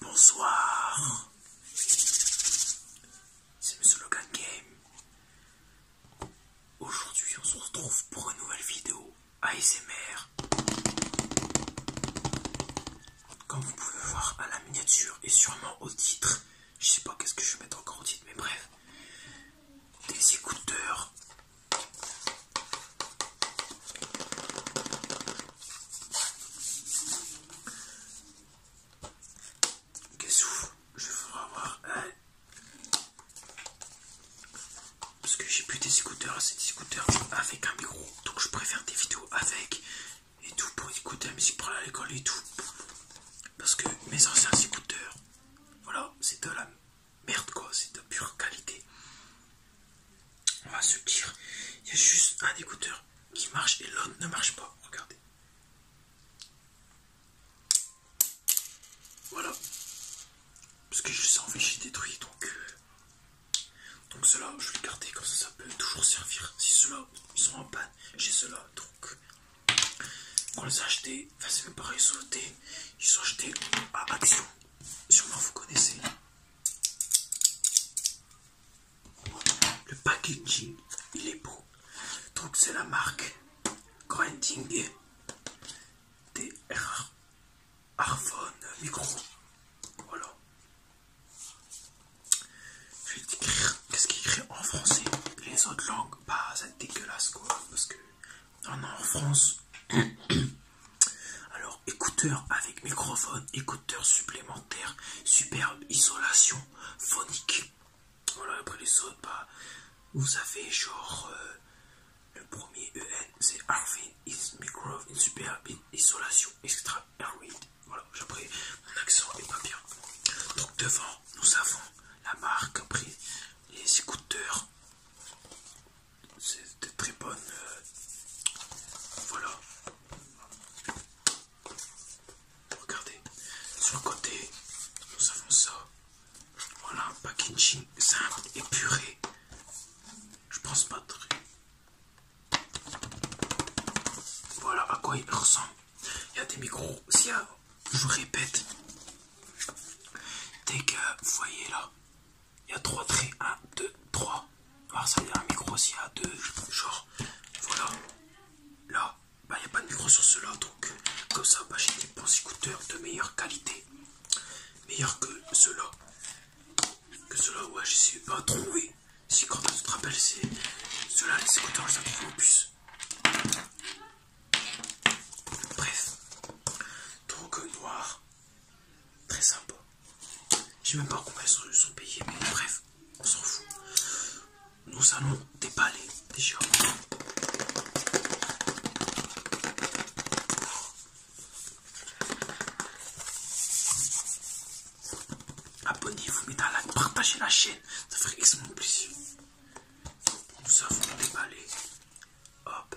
Bonsoir, c'est Monsieur Logan Game. Aujourd'hui, on se retrouve pour une nouvelle vidéo ASMR. Comme vous pouvez le voir à la miniature et sûrement au titre, je sais pas qu'est-ce que je vais mettre encore au titre, mais bref, des écouteurs Qu'est-ce que je vais avoir hein Parce que j'ai plus des écouteurs, c'est des écouteurs avec un micro, donc je préfère des vidéos avec et tout pour écouter la musique pour à l'école et tout. Parce que mes anciens écouteurs, voilà, c'est de la merde quoi, c'est de pure qualité. On va se dire, il y a juste un écouteur qui marche et l'autre ne marche pas. Regardez. Voilà. Parce que je les en j'ai détruit. Donc, euh, donc ceux je vais les garder comme ça, ça peut toujours servir. Si ceux-là, ils sont en panne, j'ai cela Donc, on les a achetés. Enfin, c'est même pareil, Ils sont achetés à ah, Action. Sûrement, vous connaissez. Le packaging, il est beau. Donc c'est la marque Grinding des Micro. Voilà. Je vais qu'est-ce qu'il écrit en français. Les autres langues, bah c'est dégueulasse quoi. Parce que non, en France, Alors, écouteurs avec microphone, écouteurs supplémentaires, superbe isolation phonique. Voilà, après les autres, bah, vous avez genre euh, le premier EN, c'est Harvey is micro, une superbe isolation, extra, Harvey, Voilà, après, mon accent n'est pas bien. Donc, devant, nous avons la marque, après les écouteurs c'est très bonne. Euh, voilà. Regardez, sur le côté, nous avons ça. Voilà un packaging simple, puré Je pense pas très. Voilà à quoi il ressemble. Il y a des micros. Si, je vous répète, dès que vous voyez là, il y a trois traits. 1, 2, 3. Alors ça, il y a un micro aussi à deux. Genre, voilà. Là, bah, il n'y a pas de micro sur cela. Donc, comme ça, bah, j'ai des bons écouteurs de meilleure qualité. Meilleur que cela Que cela ouais, j'essaie pas trouver. Si quand on te rappelle, c'est cela là les écouteurs, je les trouve au plus Bref. Donc, noir. Très sympa. Je sais même pas combien ils sont payés, mais bref, on s'en fout. Nous allons déballer déjà. Abonnez-vous, mettez un like, partagez la chaîne, ça ferait extrêmement plaisir. Nous avons déballer Hop,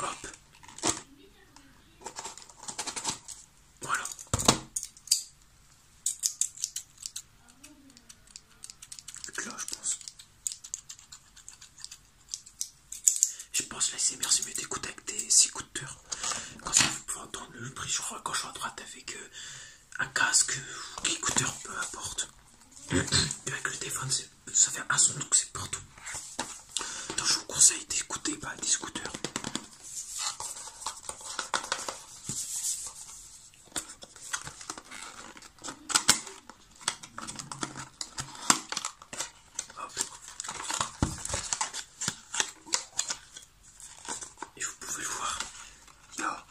Hop. Voilà. Là, je pense. Je pense la merci c'est mieux d'écouter avec des écouteurs. Quand ça, vous pouvez entendre le prix, je crois, quand je suis à droite avec euh, un casque ou écouteur, peu importe. avec le téléphone, c'est ça fait un son donc c'est partout. Donc je vous conseille d'écouter pas des scooters. Et vous pouvez voir, il y a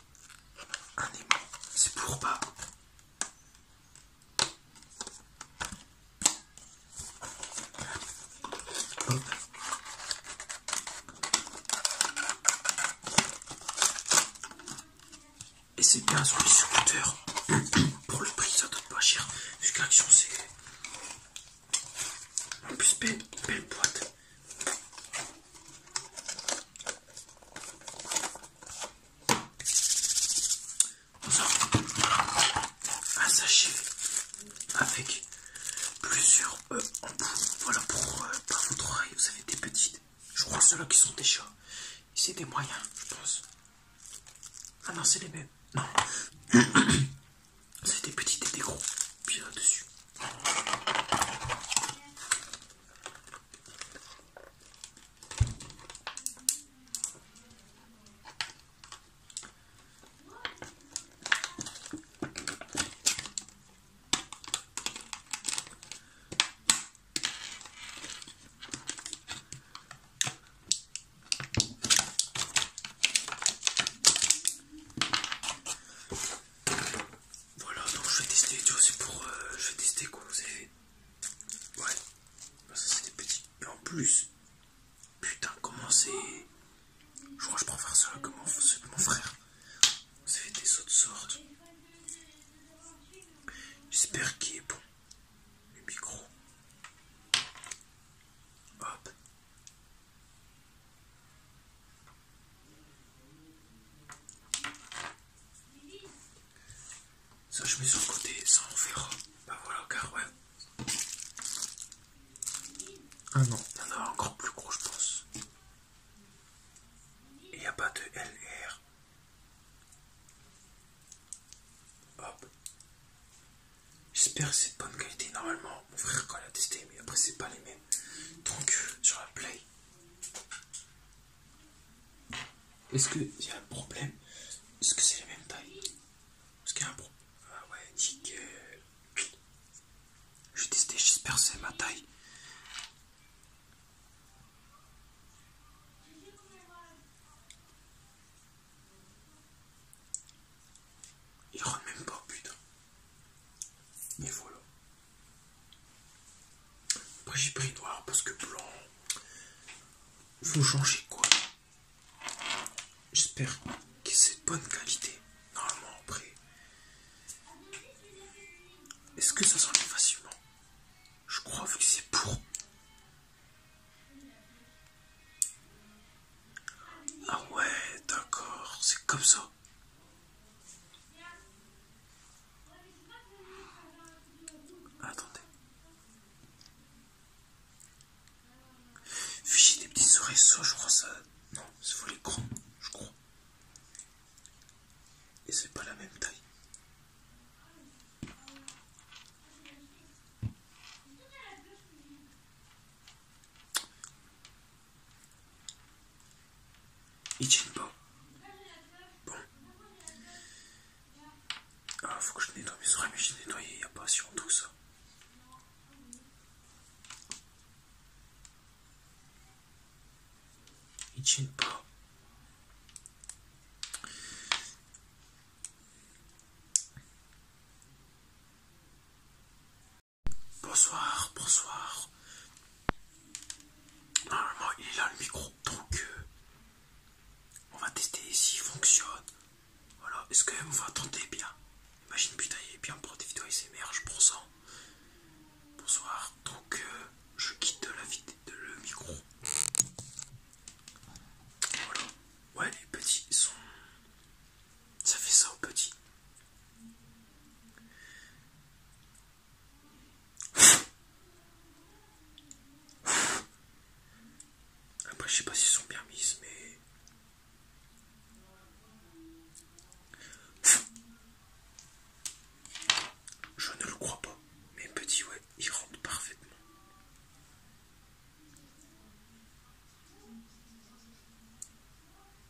un aimant, c'est pour pas et c'est bien sur les secondeurs pour le prix, ça donne pas cher. Jusqu'à Action, c'est en plus belle boîte. On un sachet avec plusieurs œufs euh, Voilà pour, euh, votre oreille, vous avez des petites. Je crois ceux-là qui sont des chats. C'est des moyens, je pense. Ah non, c'est les mêmes. Non. c'est des petites et des gros. Puis là-dessus. Voilà donc je vais tester, tu vois c'est pour euh, je vais tester quoi, vous Ouais, bah, ça c'est des petits. Et en plus, putain, comment c'est. Je crois que je préfère cela que mon, frère. Ça mon frère. des autres sortes. J'espère qu'il est bon. Le micro. Hop. Ça, je mets sur le côté, ça on verra. Bah voilà, car ouais. Ah non, il y en a encore plus gros, je pense. Il n'y a pas de L Hop. J'espère que c'est de bonne qualité. Normalement, mon frère, quand il a testé, mais après, c'est pas les mêmes. Donc, sur la Play, est-ce qu'il y a un problème Est-ce que c'est la même taille Est-ce qu'il y a un problème Ah ouais, que... Je vais tester, j'espère que c'est ma taille. Il rentre même pas, putain. Mais voilà. Après j'ai pris noir parce que blanc. Vous changez quoi J'espère que c'est de bonne qualité. Normalement après. Est-ce que ça s'enlève facilement Je crois que c'est pour. Ah ouais, d'accord, c'est comme ça. Attendez. fichier des petits ça je crois ça. Non, c'est vous les grands, je crois. Et c'est pas la même taille. Ici tiennent pas. Ah, faut que je nettoie mes oreilles, mais je nettoyé il n'y a pas sur tout ça. Ici tiennent pas. Bonsoir, bonsoir. Normalement, il est là le micro, donc euh, on va tester s'il fonctionne. Voilà, est-ce que vous attendez bien Imagine, putain, il est bien pour des vidéos s'émerge pour ça Bonsoir, donc euh, je quitte la le micro. Voilà, ouais, les petits sont. Ça fait ça aux petits. Après, je sais pas si sont bien mises, mais. Je ne le crois pas, mais petit ouais, ils rentrent parfaitement.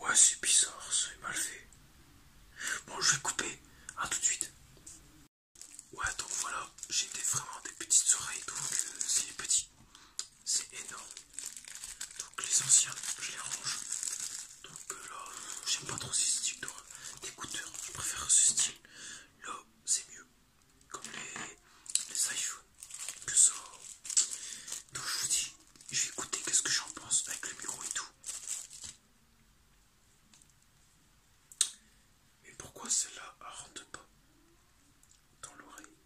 Ouais, c'est bizarre, c'est mal fait. Bon, je vais couper. À tout de suite. Ouais, donc voilà, j'ai des, vraiment des petites oreilles, donc euh, c'est petit. C'est énorme. Donc les anciens, je les range. Donc euh, là, j'aime pas trop ce style d'écouteurs. Je préfère ce style. Là, c'est mieux. Comme les, les que ça. Donc je vous dis, je vais écouter qu'est-ce que j'en pense avec le bureau et tout. Mais pourquoi cela là rentre pas dans l'oreille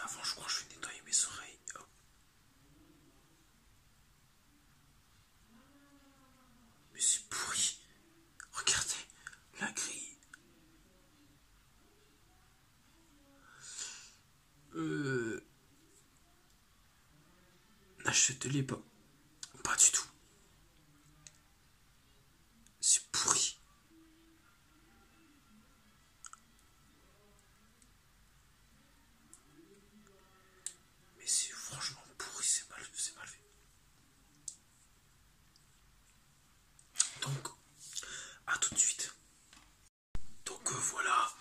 Avant je crois que je vais nettoyer mes oreilles. Mais c'est pourri. Regardez, la grille. Euh. N'achetez-les pas. Pas du tout. C'est pourri. Mais c'est franchement pourri, c'est mal, mal fait. Donc, à tout de suite. Donc euh, voilà.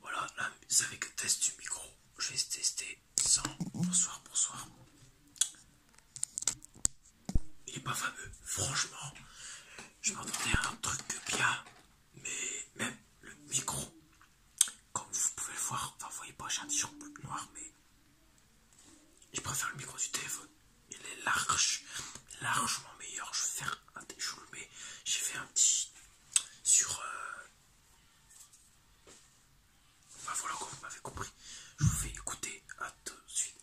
Voilà, là, c'est avec test du micro. Je vais tester sans. Bonsoir, bonsoir. Il n'est pas fameux, franchement. Je m'attendais à un truc bien mais même le micro, comme vous pouvez le voir, enfin vous voyez pas, j'ai un petit noir, mais je préfère le micro du téléphone. Il est large, largement meilleur. Je vais faire un je mais j'ai fait un petit sur. Enfin euh, bah, voilà, comme vous m'avez compris. Je vous fais écouter, à tout de suite.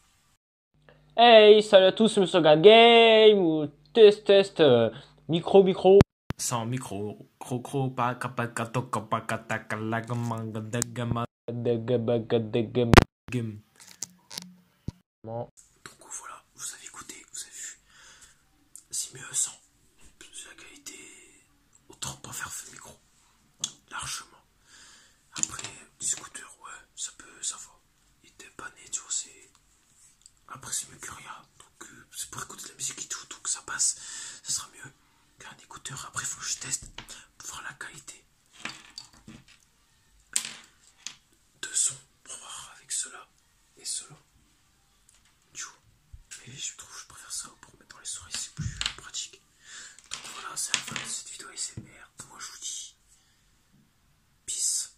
Hey, salut à tous, c'est me Game ou test test euh, micro micro. Sans micro, crocro, Donc voilà, vous avez écouté, vous avez vu. C'est mieux sans, la qualité, autant pas faire ce micro. Largement. Après, discoteur, ouais, ça peut, ça va. Il était pas tu c'est. Après, c'est mieux que rien. Donc, euh, c'est pour écouter de la musique et tout. Donc, ça passe. Ça sera mieux qu'un écouteur. Après, il faut que je teste pour voir la qualité de son. Pour voir avec cela et cela. mais je trouve que je préfère ça pour mettre dans les soirées. C'est plus pratique. Donc, voilà, c'est la fin de cette vidéo ASMR. Moi, je vous dis. Peace.